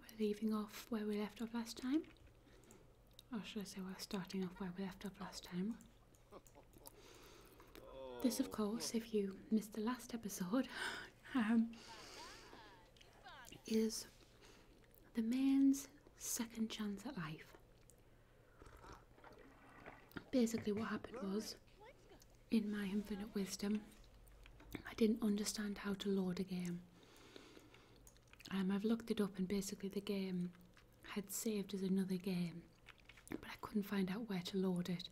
We're leaving off where we left off last time. Or should I say we're starting off where we left off last time. This, of course, if you missed the last episode, um, is the man's second chance at life. Basically, what happened was in my infinite wisdom, I didn't understand how to load a game. Um, I've looked it up, and basically, the game had saved as another game, but I couldn't find out where to load it.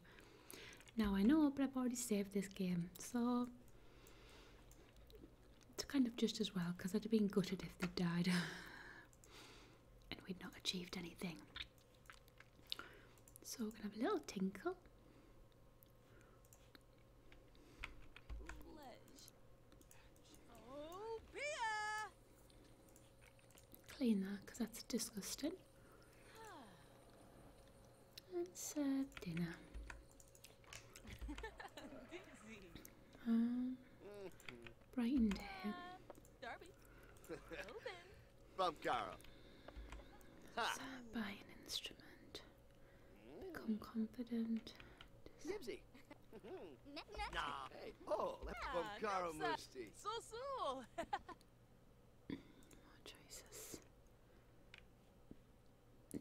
Now I know, but I've already saved this game, so it's kind of just as well because I'd have been gutted if they'd died and we'd not achieved anything. So we're gonna have a little tinkle Clean that because that's disgusting. And serve dinner. Um, Brighton Day. Darby. Bump Gara. Ha! instrument. Become confident. Nibsy. nah. Hey, oh, that's from Karo Musti. So so. More choices.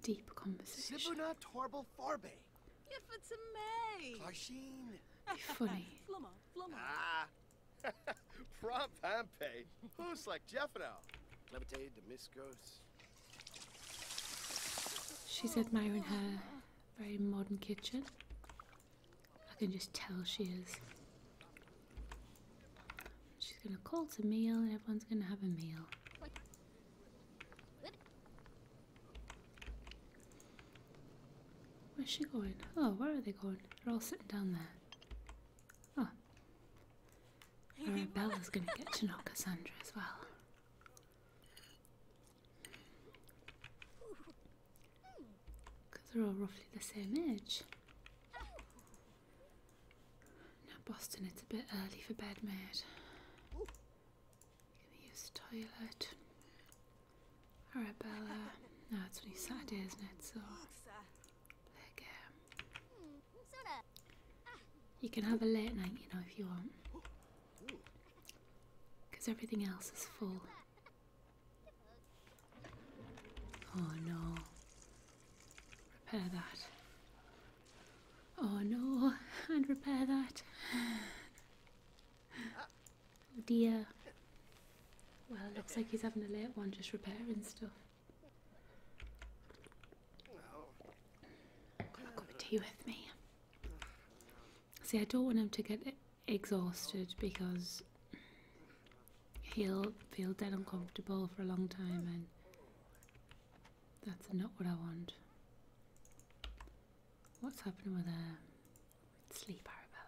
Deep conversation. Sibuna Torbal Farbe. If it's a May. Clarsheen. Funny. Flumma, flumma. Ah. Prompt Hampe. Who's like Jeff now? She's admiring her very modern kitchen. I can just tell she is. She's going to call to meal and everyone's going to have a meal. Where's she going? Oh, where are they going? They're all sitting down there. Oh. Arabella's gonna get to know Cassandra as well. Because they're all roughly the same age. Now, Boston, it's a bit early for bed, mate. gonna use the toilet. Arabella. No, it's only Saturday, isn't it? So you can have a late night, you know, if you want. Because everything else is full. Oh no. Repair that. Oh no, and repair that. Oh dear. Well, looks like he's having a late one just repairing stuff. Got a cup of tea with me. See, I don't want him to get exhausted because he'll feel dead uncomfortable for a long time, and that's not what I want. What's happening with um, her? Sleep, Arabella.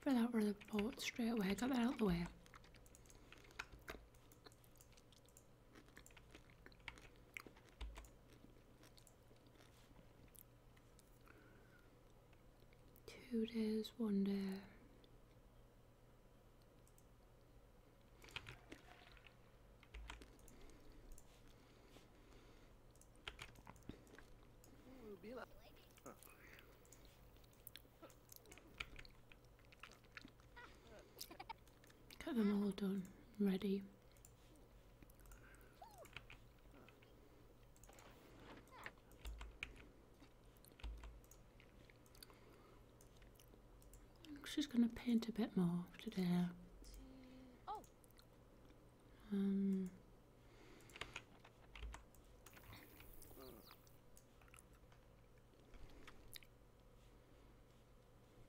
for that run of port straight away. Got that out of the way. Two days, one day. Get them all done, ready. She's going to paint a bit more today. Um,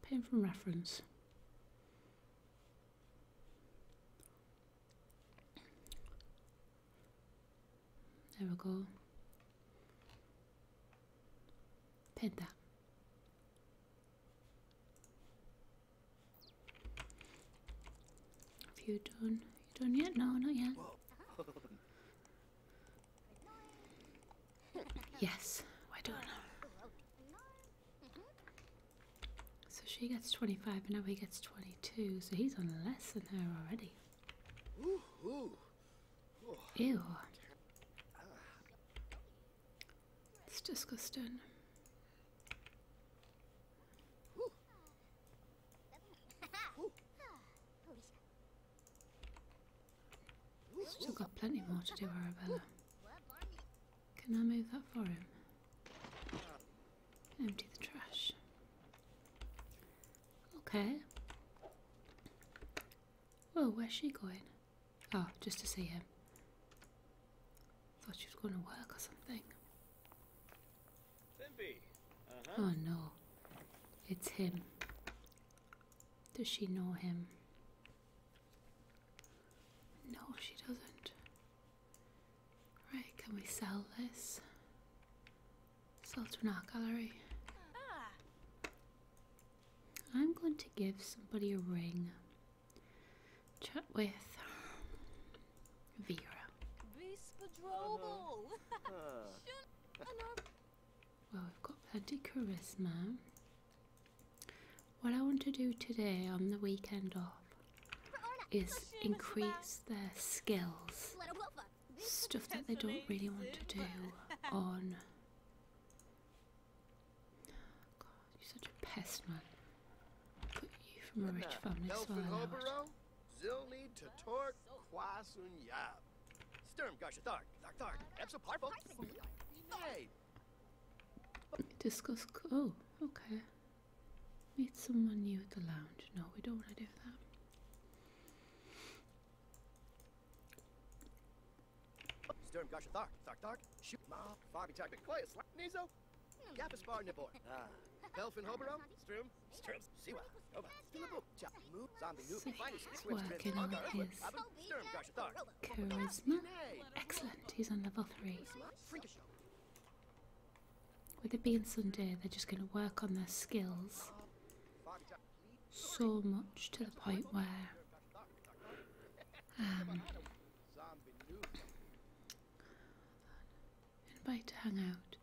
paint from reference. There we go. Paint that. Have you done? You done yet? No, not yet. yes, we're know. So she gets 25 and now he gets 22, so he's on less than her already. Ew. It's disgusting. Still got plenty more to do, Arabella. Can I move that for him? Empty the trash. Okay. Well, where's she going? Oh, just to see him. Thought she was going to work or something. Uh Oh no, it's him. Does she know him? No, she doesn't. Right, can we sell this? Sell to an art gallery. Ah. I'm going to give somebody a ring. Chat with. Vera. Well, we've got plenty charisma. What I want to do today on the weekend off is increase their skills. Stuff that they don't really want to do on. God, you're such a pest, man from a rich family svärlord. Zilni Tatork Kwasun Yab. Sturm Garshathark, Thark, Epsoparfo. Hey! Discuss. Oh, okay. Meet someone new at the lounge. No, we don't want to do that. Sturm Garshathark, Thark, Thark, Shoot Ma, Fabi Tactic, Clay, Slap, Nizo, Gapaspar Nabor. Ah. Pelfin Hoberom? Strum? Strum? Siwa. Oba. Stilabu. Cha. Mu. charisma. Excellent. He's on level 3. With it being Sunday, they're just going to work on their skills so much to the point where um, and bite to hang out.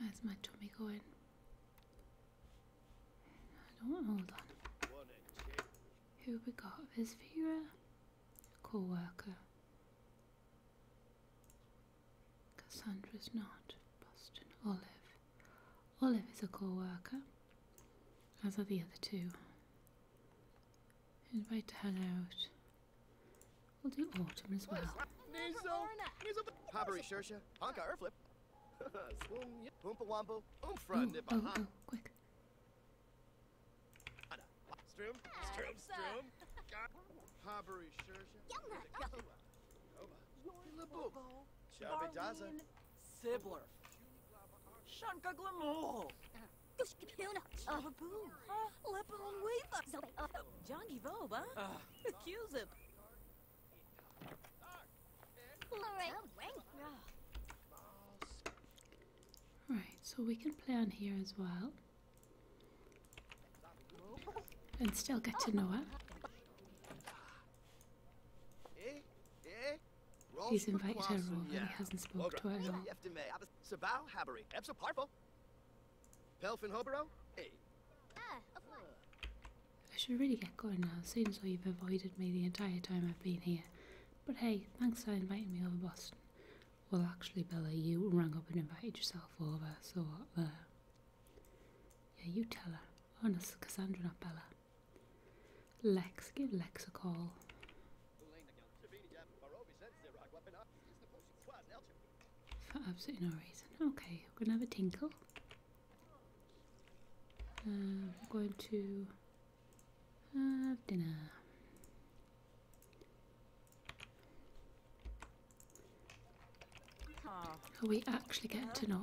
How's my tummy going? I don't hold on. Who we got? Is Vera? Co-worker. Cassandra's not. Boston Olive. Olive is a co-worker. As are the other two. Invite to hang out. We'll do autumn as well. Hobbery Shersha, Honka Erflip. Oompa Wombo, Oomphrun, Nibba. Oh, quick. Stroom, Stroom, Stroom. Hobbery Shersha. Labook. Chabidaza. Sibbler. Shanka Glamour. Abu, Lepon Weaver, Jongi Voba, Cusip. Right, so we can play on here as well. And still get to know her. Eh? Eh? He's invited her over, he hasn't spoken to her Habas, Habery, Habari, Epsa Parfo, Pelfin Hobaro, hey. Ah, I should really get going now, seems like you've avoided me the entire time I've been here. But hey, thanks for inviting me over Boston. Well actually Bella, you rang up and invited yourself over, so Yeah, you tell her. Honest, Cassandra not Bella. Lex, give Lex a call. For absolutely no reason. Okay, we're gonna have a tinkle. Um, I'm going to have dinner. Ah. Are we actually getting to know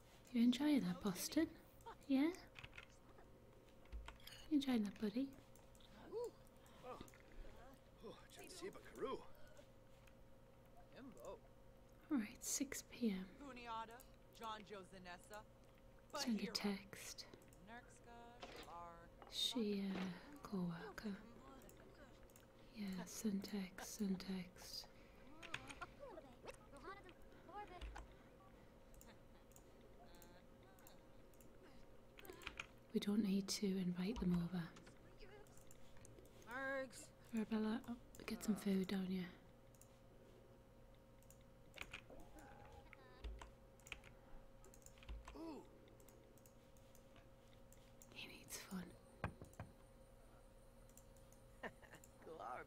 You enjoying that, Boston? Yeah? You enjoying that, buddy? Alright, 6 pm. Send a text. She, uh, co worker. Yeah, send text, send text. We don't need to invite them over. Arabella, oh, get some food down here. He needs fun.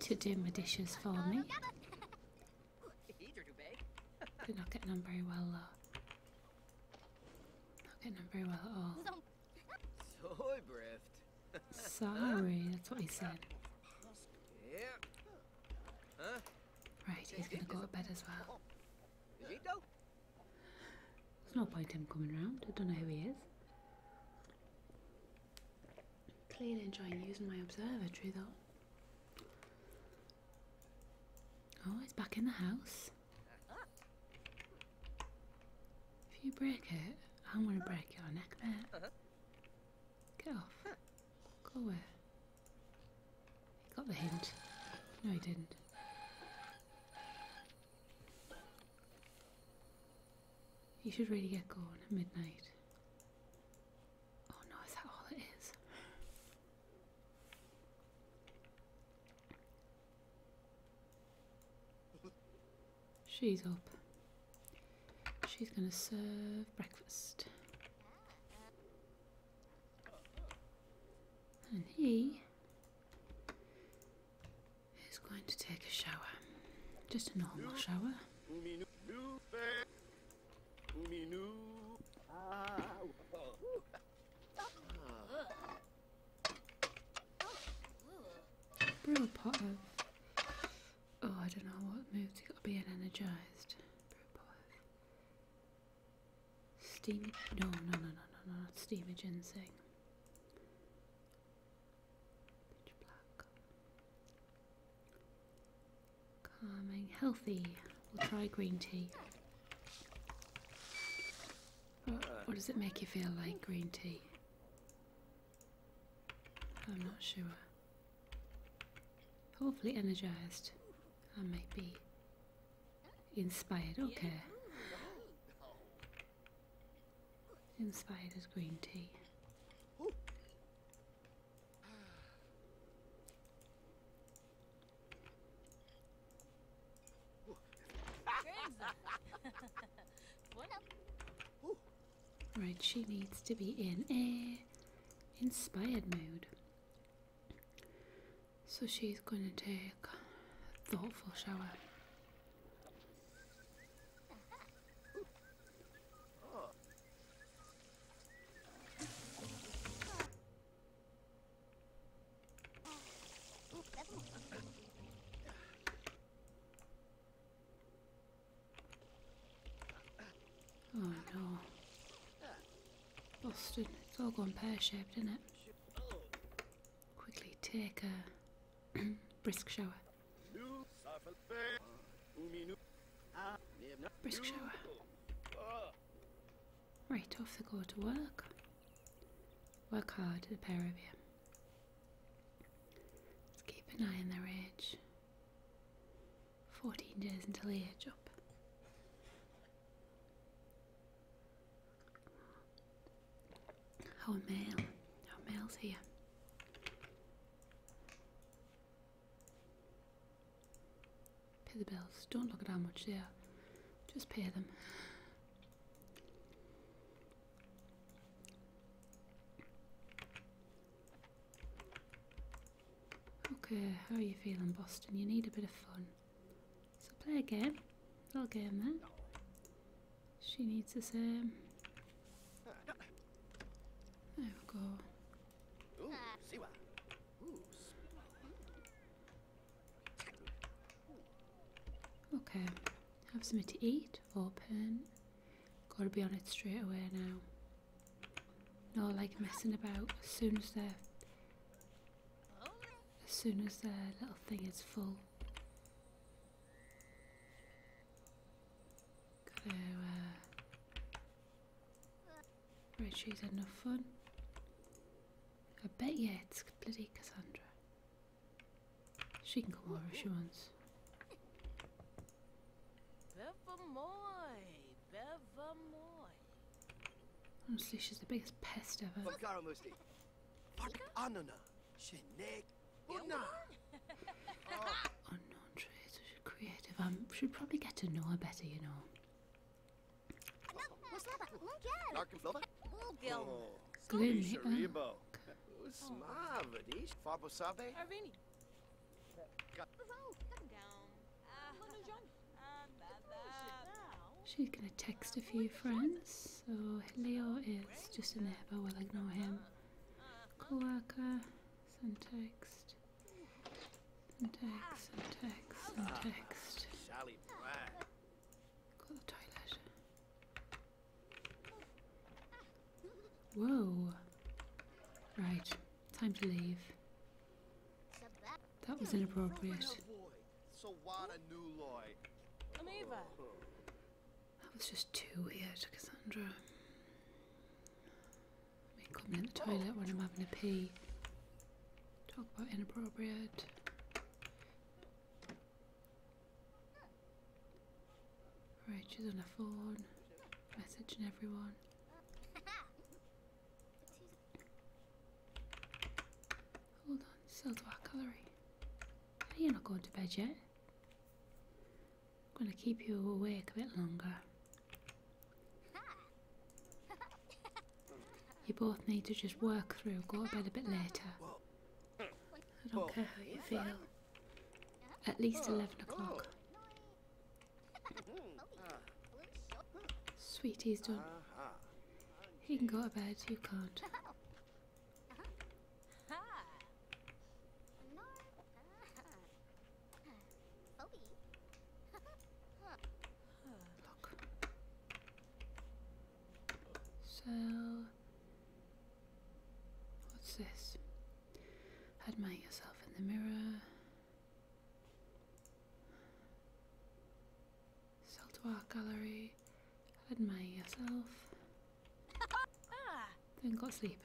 to do my dishes for me. They're not getting on very well though. Not getting on very well at all. Sorry, that's what he said. Right, he's gonna go to bed as well. There's no point him coming around. I don't know who he is. Clearly enjoying using my observatory though. Oh, it's back in the house. If you break it, I'm gonna break your neck, mate. Get off. Go away. He got the hint. No, he didn't. You should really get going at midnight. Oh no, is that all it is? She's up. She's gonna serve breakfast. And he is going to take a shower. Just a normal shower. Brew a Oh, I don't know what mood to be in energised. Brew No, no, no, no, no, no, not steamy Calming, healthy. We'll try green tea. What, what does it make you feel like, green tea? I'm not sure. Hopefully energized. I might be inspired. Okay. Inspired as green tea. right, she needs to be in a inspired mood. So she's going to take a thoughtful shower. Oh no. Busted. It's all gone pear shaped, isn't it? Quickly take a Brisk shower. Brisk shower. Right, off the go to work. Work hard, the pair of you. keep an eye on their age. 14 days until age up. Our mail. Our mail's here. Pay the bills. Don't look at how much they are. Just pay them. Okay, how are you feeling, Boston? You need a bit of fun. So play a game. Little game man. She needs the same. There we go. Okay, have something to eat, open. Gotta be on it straight away now. No like messing about as soon as they as soon as their little thing is full. Gotta uh, had enough fun. I bet yeah, it's bloody Cassandra. She can come over if she wants. Bevermoy, Bevermoy. Honestly, she's the biggest pest ever. Unknown oh, traits. Creative. I should probably get to know her better, you know. Glim. Fabosabe. Arvini. She's gonna text a uh, few friends, so Leo is just a neighbour, we'll ignore him. Cloaca, some text, some text, some text, some text. Ah, Sally Black. Go to the toilet. Whoa. Right, time to leave. That was inappropriate. That was just too weird, Cassandra. I mean, coming in the oh. toilet when I'm having a pee. Talk about inappropriate. Right, she's on her phone, messaging everyone. Hold on, still to our calorie. Are you not going to bed yet? I'm going to keep you awake a bit longer. You both need to just work through, go to bed a bit later. I don't care how you feel. At least 11 o'clock. Sweetie's done. He can go to bed, you can't. Look. So, what's this? Admire yourself in the mirror. Sell to gallery. Admire yourself. Then got sleep.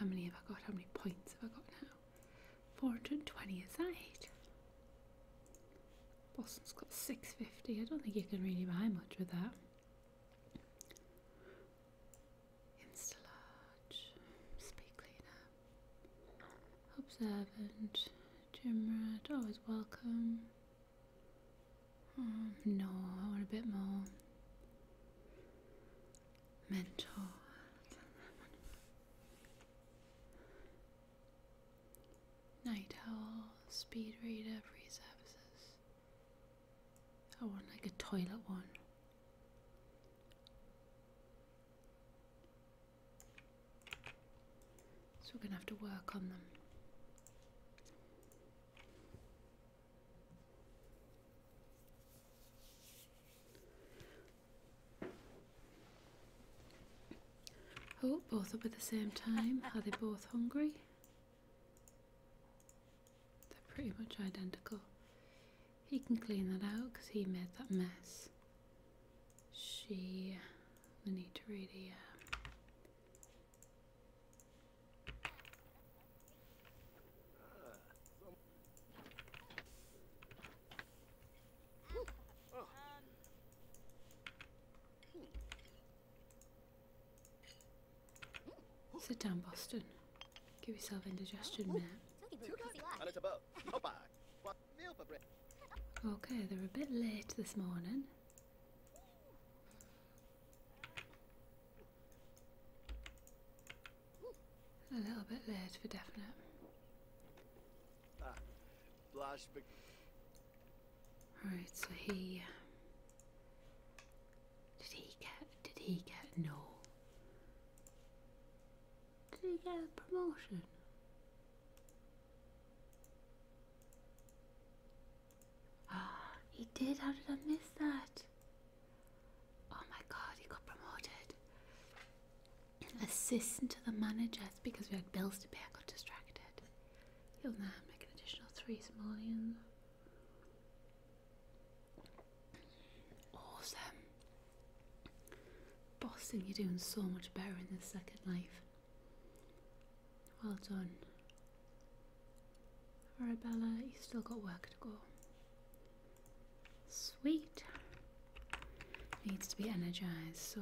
How many have I got? How many points have I got now? 420, is that Boston's got 650. I don't think you can really buy much with that. Instalarge, speed cleaner, observant, gym rat, always oh, welcome. Hmm, no, I want a bit more mental. Night owl, speed reader, free services. I want like a toilet one. So we're going to have to work on them. Oh, both up at the same time. Are they both hungry? They're pretty much identical. He can clean that out because he made that mess. She, we need to really um, Sit down, Boston. Give yourself indigestion, man. Okay, they're a bit late this morning. A little bit late for definite. Ah, blast Right, so he uh, did he get did he get no? Did he get a promotion? he did. How did I miss that? Oh my god, he got promoted. Assistant to the manager. because we had bills to pay. I got distracted. You'll now make an additional three simoleons. Awesome. Boston, you're doing so much better in this second life. Well done. Arabella, you still got work to go. Sweet. Needs to be energised, so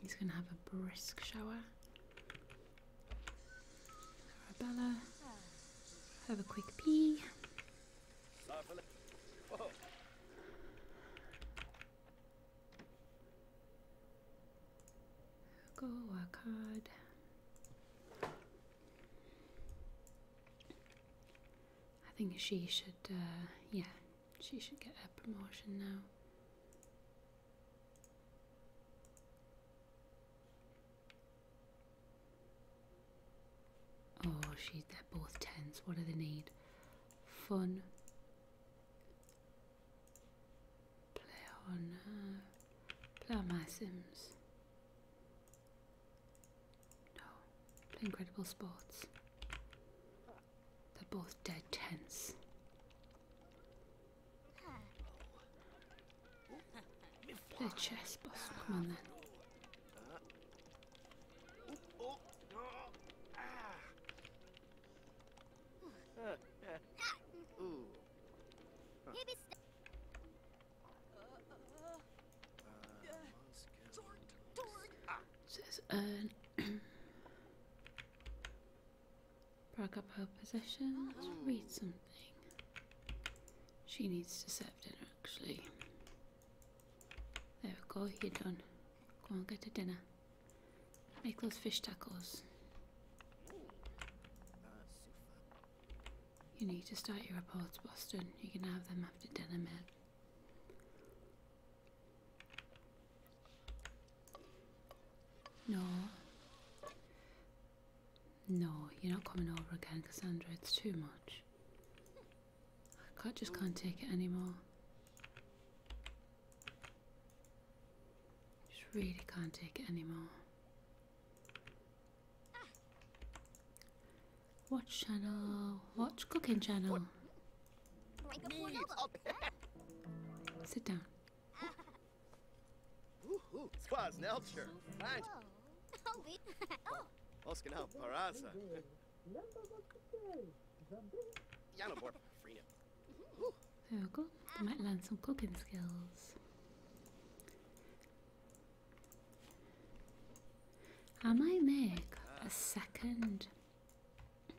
he's going to have a brisk shower. Arabella, have a quick pee. Go hard. Uh, I think she should, uh, yeah, she should get a promotion now. Oh, she, they're both tens. What do they need? Fun. Play on, play my Sims. No, play Incredible Sports. They're both dead tense. Play chess, boss. Come Ooh. Huh. Says uh, earn. Brag up her possessions. Oh. Read something. She needs to set dinner, actually. There we go. You're done. Go on, get a dinner. Make those fish tacos. You need to start your reports, Boston. You can have them after dinner, mate. No. No, you're not coming over again, Cassandra. It's too much. I just can't take it anymore. Just really can't take it anymore. Watch channel. Watch cooking channel. Sit down. Squaz Nelcher. Oskanow Paraza. Janobor Frina. There we go. They might learn some cooking skills. I might make a second. I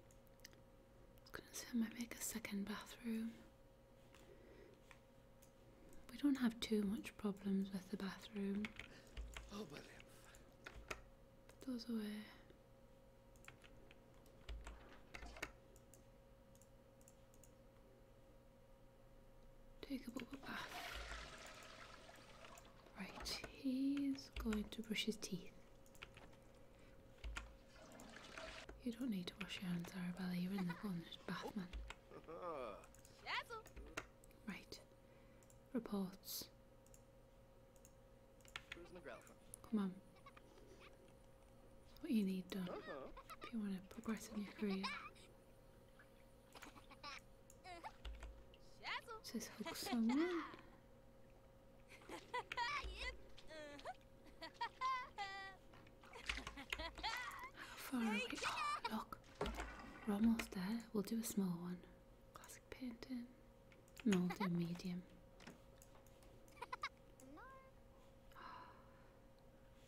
gonna say I might make a second bathroom. We don't have too much problems with the bathroom. Put oh, those away. Take a bubble bath. Right, he's going to brush his teeth. You don't need to wash your hands, Arabella. You're in the cornered bath, Right. Reports. Come on. what you need done uh if you want to progress in your career. Says hook someone. How oh, look. We're almost there. We'll do a small one. Classic painting. I'll medium. A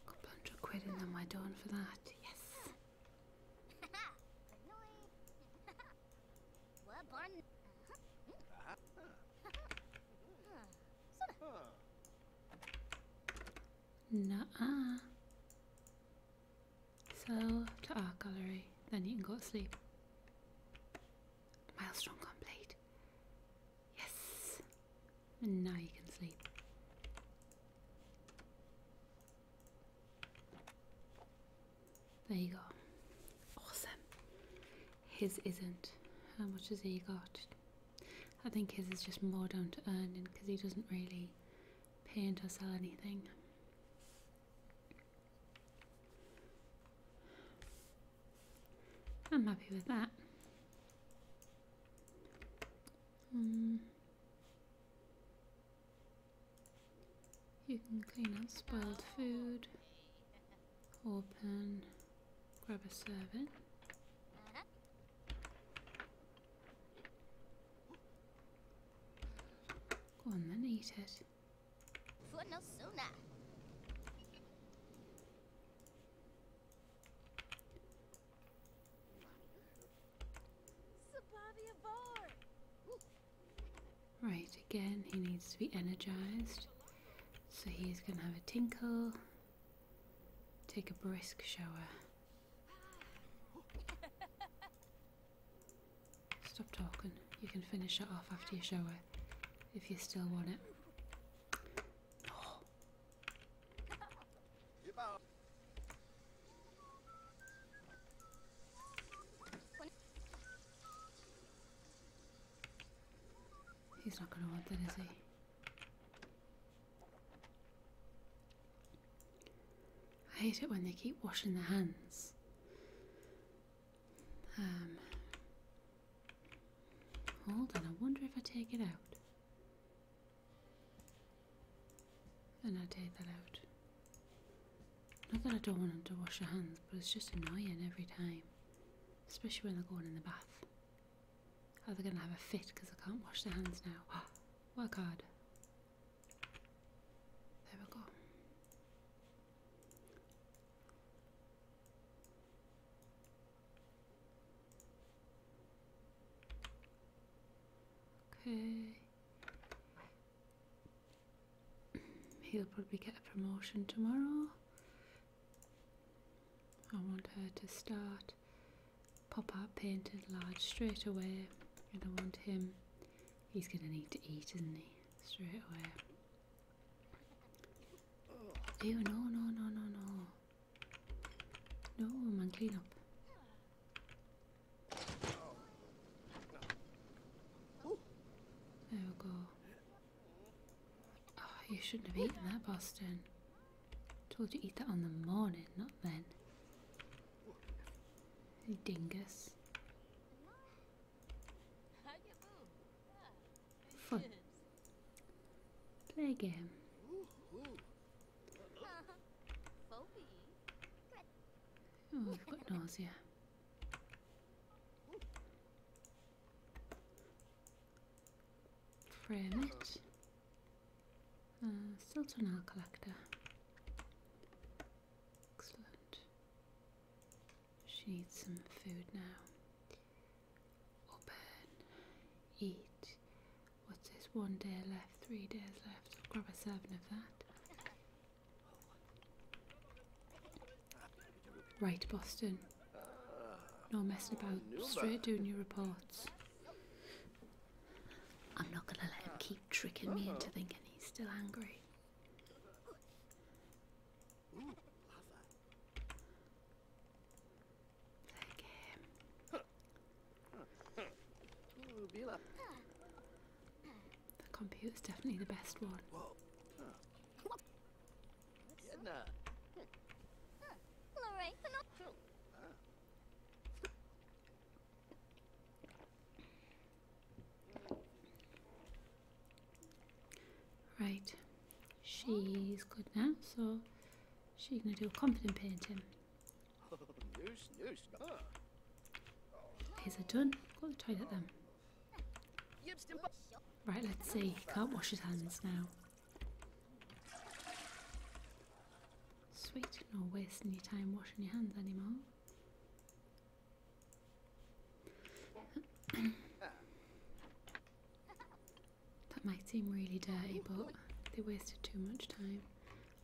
couple hundred quid and then we're done for that. Yes. Nah. So to our gallery, then you can go to sleep. Milestone complete. Yes. And now you can sleep. There you go. Awesome. His isn't. How much has he got? I think his is just more down to earning because he doesn't really paint or sell anything. I'm happy with that. Um, you can clean up spoiled food, open, grab a serving. Go on then, eat it. Right, again, he needs to be energized. So he's going to have a tinkle, take a brisk shower. Stop talking. You can finish it off after you shower if you still want it. He's not going to want it, is he? I hate it when they keep washing their hands. Um, hold on, I wonder if I take it out. And I take that out. Not that I don't want to wash your hands, but it's just annoying every time. Especially when they're going in the bath. Are they going to have a fit because I can't wash their hands now? Work hard. There we go. Okay. He'll probably get a promotion tomorrow. I want her to start pop up painted large straight away. And I want him, he's going to need to eat, isn't he? Straight away. Ew, no, no, no, no, no. No, man, clean up. There we go. Oh, you shouldn't have eaten that, Boston. Told you to eat that on the morning, not then. You dingus. Fun. Play a game. Oh, I've got nausea. Frame it. Uh, Sultanal collector. Excellent. She needs some food now. Open. Eat. What's this? One day left, three days left. grab a seven of that. Right, Boston. No messing about. Straight doing your reports. I'm not going to let him keep tricking me into thinking he's still angry. Ooh, lava. Play game. The computer's definitely the best one. Right, she's good now, so she's going to do a confident painting. His are done. Go to the toilet then. Right, let's see. Can't wash his hands now. Sweet, no wasting your time washing your hands anymore that might seem really dirty, but they wasted too much time.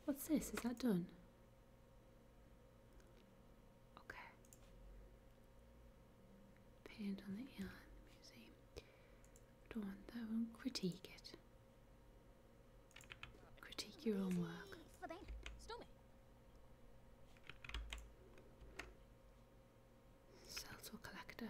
What's this? Is that done? Okay. Paint on the yarn museum. Don't want that one. Critique it. Critique your own work. Sell to collector.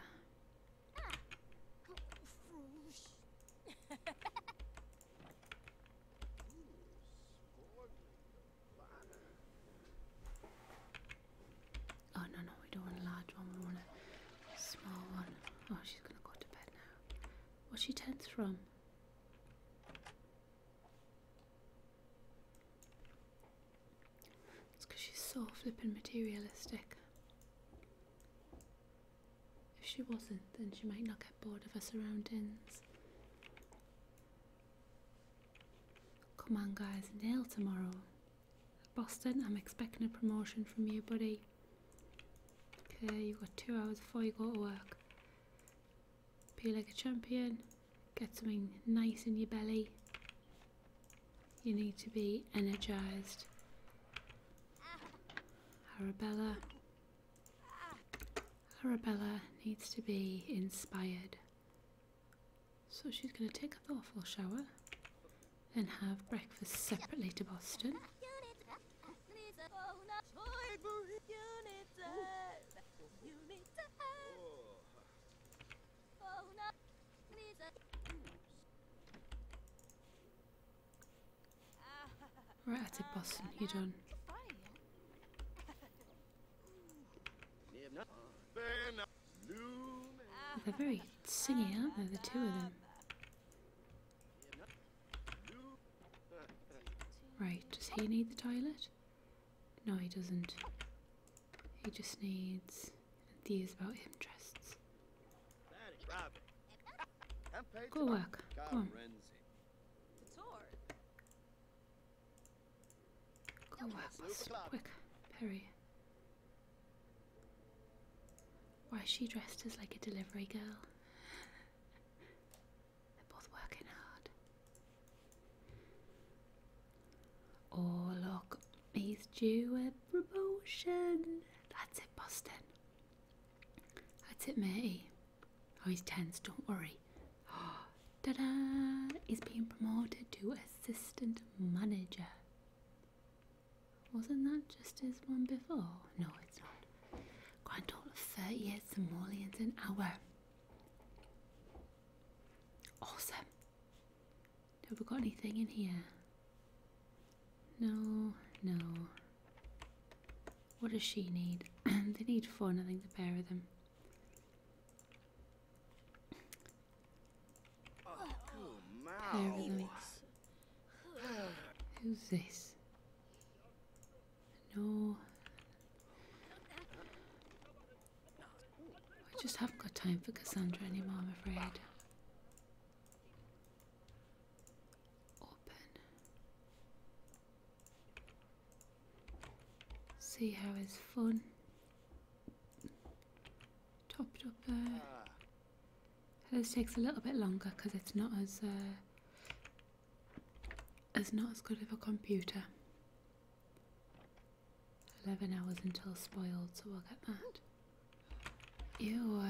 Oh no no, we don't want a large one, we want a small one. Oh, she's gonna go to bed now. What's she tense from? It's because she's so flippin' materialistic. If she wasn't, then she might not get bored of her surroundings. Come on, guys, nail tomorrow. Boston, I'm expecting a promotion from you, buddy. Okay, you've got two hours before you go to work. Be like a champion. Get something nice in your belly. You need to be energized. Arabella. Arabella needs to be inspired. So she's going to take a awful shower and have breakfast separately to Boston. Oh, right at Boston, you done. They're very singy, aren't the two of them? Right, does he need the toilet? No, he doesn't. He just needs enthused about interests. Go work. Go Go work, Quick, Perry. Why is she dressed as like a delivery girl? They're both working hard. Oh, look, he's due a promotion. That's it, Boston. That's it, matey. Oh, he's tense, don't worry. Oh, Ta da! He's being promoted to assistant manager. Wasn't that just his one before? No, it's not. Grand total of thirty years and more than an hour. Awesome. Have we got anything in here? No, no. What does she need? they need fun, I think, the pair of them. Pair of them. Who's this? No. I just haven't got time for Cassandra anymore, I'm afraid. Open. See it's fun. Topped up there. Uh, ah. this takes a little bit longer because it's not as uh, it's not as good as a computer. 11 hours until spoiled, so we'll get that. Ew.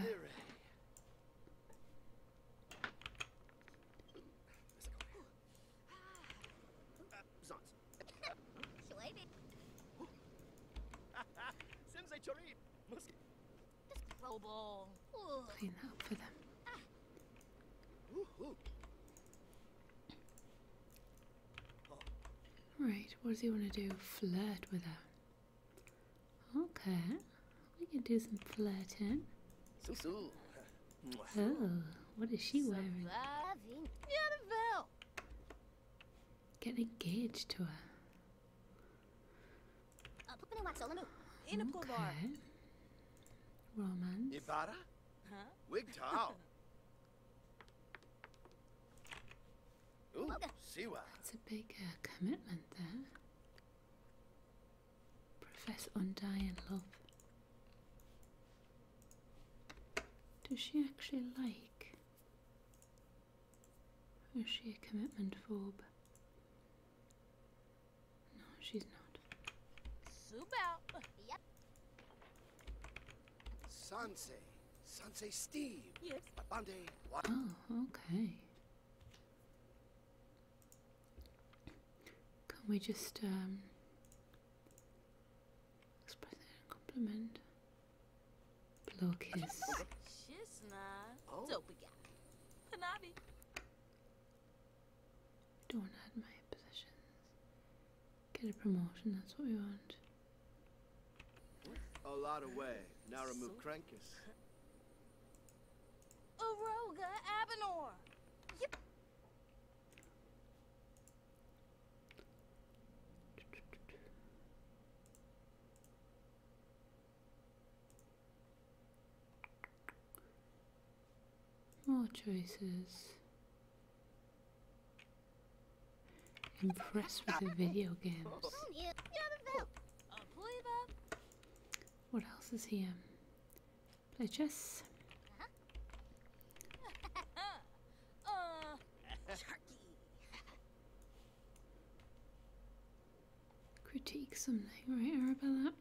Clean up for them. Right, what does he want to do? Flirt with her. Okay, we can do some flirting. Oh, what is she wearing? Getting engaged to her. Okay. Romance. Ibarra? Huh? Wig Tao. Ooh, Siwa. That's a big uh, commitment there. Profess undying love. Does she actually like? is she a commitment phobe? No, she's not. Soup out. Yep. Sanse. Sanse Steve. Yes. Abande. Oh, okay. Can we just um express a compliment? Blow kiss. Shizna. Oh. Panabi. Don't add my positions. Get a promotion, that's what we want. A lot of way. Now remove Crankus. Uroga Abenor! Yep. More choices. Impressed with the video games. What else is here? Play chess. Uh-huh. Uh. Critique something, right, Arabella?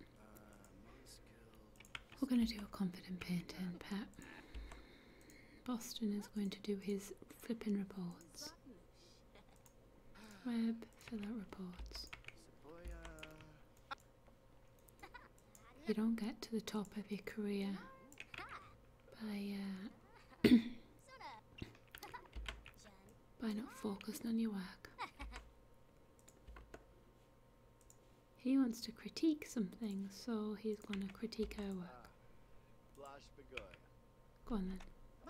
We're going to do a confident pant, and Pat Boston is going to do his flipping reports. Web, fill out reports. You don't get to the top of your career by uh, by not focusing on your work. He wants to critique something, so he's going to critique her work. Uh, Go on then.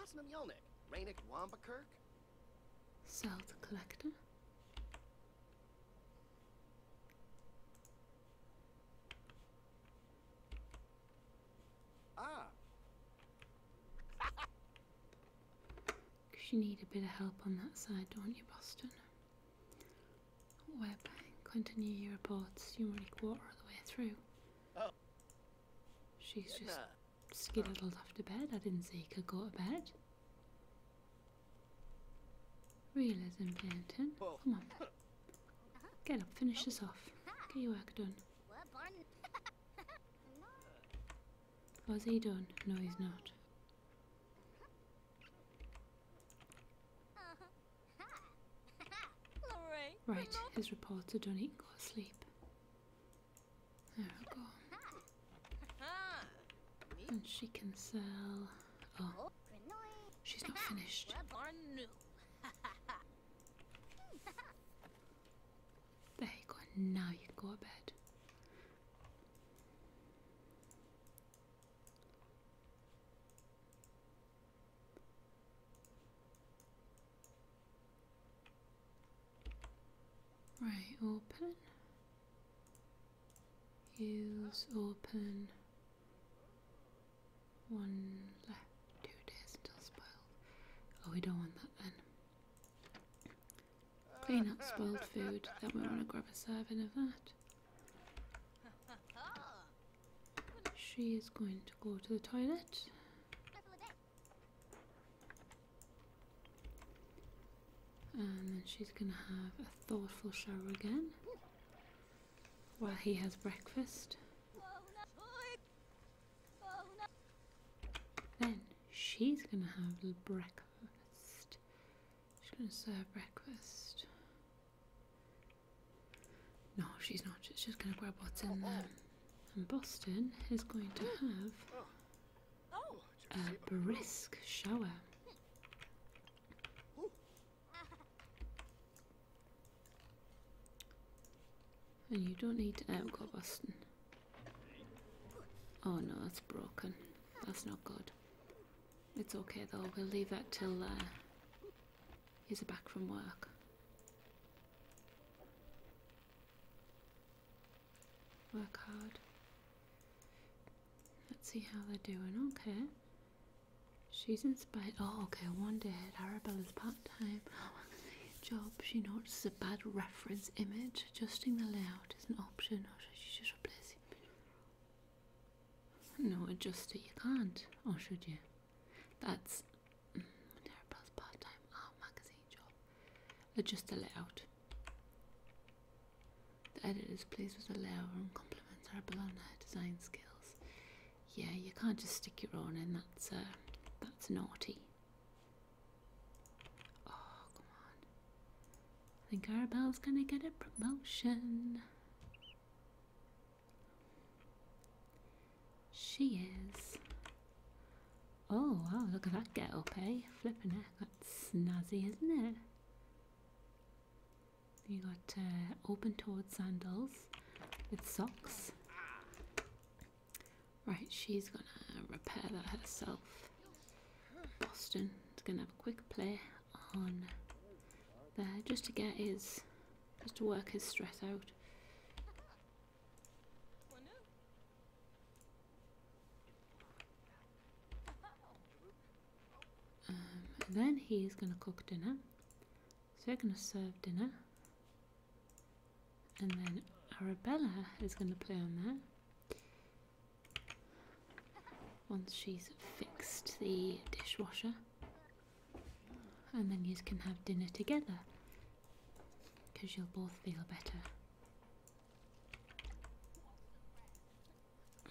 Masnum collector? Ah. Because you need a bit of help on that side, don't you, Boston? Web, continue your reports. You're only quarter of the way through. Oh. She's just skedaddled off to bed. I didn't see you could go to bed. Realism painting. Come on. Get up, finish this off. Get your work done. Was he done? No, he's not. Right, is reported on equal sleep. There we go. And she can sell. Oh, she's not finished. There you go, now you go to bed. Right, open. Use open. One left, two days until spoiled. Oh, we don't want that then. Clean up spoiled food, then we want to grab a serving of that. She is going to go to the toilet. And then she's going to have a thoughtful shower again while he has breakfast. Then she's going to have breakfast. She's gonna serve breakfast. No, she's not. She's just gonna grab what's in there. And Boston is going to have a brisk shower. And you don't need to outgo um, Boston. Oh no, that's broken. That's not good. It's okay though, we'll leave that till uh, he's back from work. Work hard. Let's see how they're doing. Okay. She's inspired. Oh, okay. One day Arabella's part time job, she notices a bad reference image. Adjusting the layout out an option, or should you just replace it? No, adjust it. You can't, or should you? That's mm, a part-time art magazine job. Adjust uh, the layout. The editor is pleased with the layout and compliments Arabella on her design skills. Yeah, you can't just stick your own in. That's uh, that's naughty. Oh, come on. I think Arabelle's gonna get a promotion. She is. Oh, wow, look at that girl, up, eh? Flipping it. That's snazzy, isn't it? You got uh, open toed sandals with socks. Right, she's gonna repair that herself. Boston is going to have a quick play on there just to get his, just to work his stress out. Um, then he's going to cook dinner. So we're going to serve dinner. And then Arabella is going to play on there once she's fixed the dishwasher, and then you can have dinner together because you'll both feel better.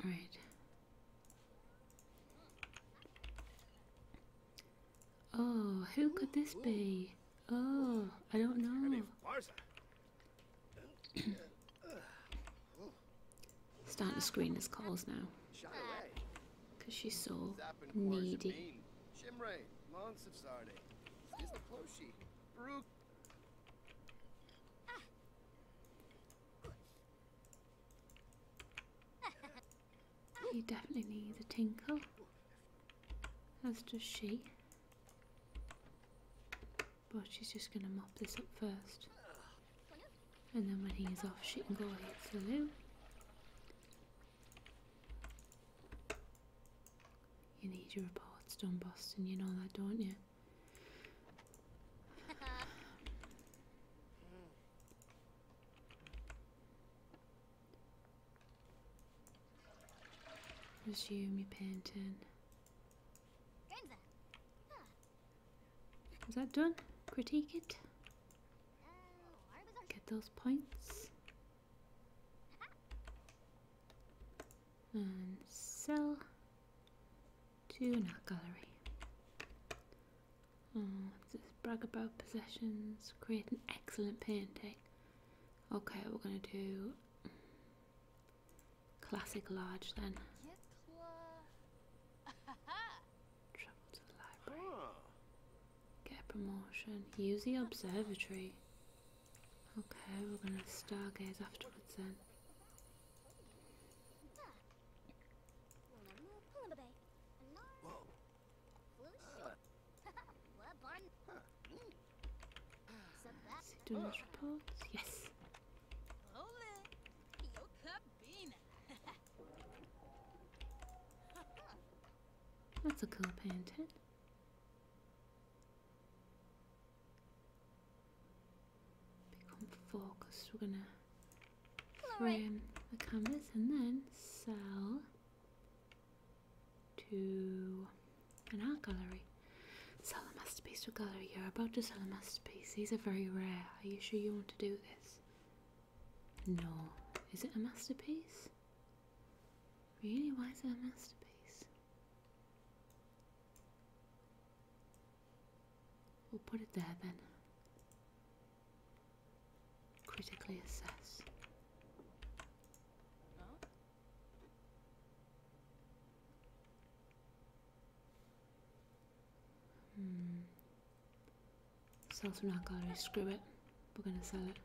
Right. Oh, who could this be? Oh, I don't know. Starting to screen as calls now. Because she's so needy. He definitely needs a tinkle, as does she. But she's just going to mop this up first. And then when he's off, she can go hit the loo. You need your reports Don Boston. You know that, don't you? you, your painting. Is that done? Critique it. Get those points. And sell to an art gallery. Just oh, brag about possessions. Create an excellent painting. Okay, we're gonna do Classic large then. Travel to the library. Get a promotion. Use the observatory. Okay, we're gonna stargaze afterwards then. Do not Yes. That's a cool painting. Become focused. We're gonna frame the canvas and then sell to an art gallery. Sell a masterpiece to a gallery. You're about to sell a masterpiece. These are very rare. Are you sure you want to do this? No. Is it a masterpiece? Really? Why is it a masterpiece? We'll put it there then. Critically assess. Hmm. Sells from Nakari. Screw it. We're gonna sell it.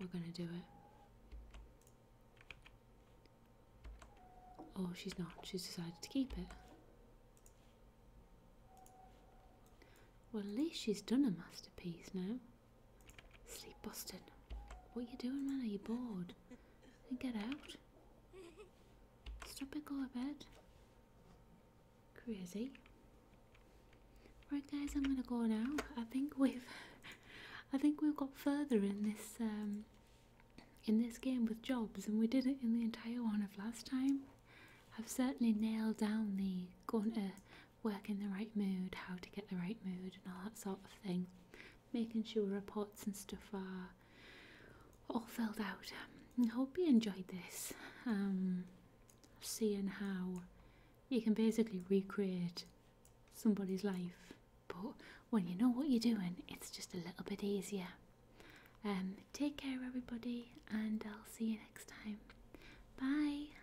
We're gonna do it. Oh, she's not. She's decided to keep it. Well, at least she's done a masterpiece now. Sleep bastard. What are you doing, man? Are you bored? Then get out. Stop it. go to bed. Crazy. Right guys, I'm gonna go now. I think we've I think we've got further in this um, in this game with jobs and we did it in the entire one of last time. I've certainly nailed down the going to uh, work in the right mood, how to get the right mood, and all that sort of thing. Making sure reports and stuff are all filled out. Um, hope you enjoyed this. Um, seeing how you can basically recreate somebody's life, but when you know what you're doing, it's just a little bit easier. Um, take care, everybody, and I'll see you next time. Bye.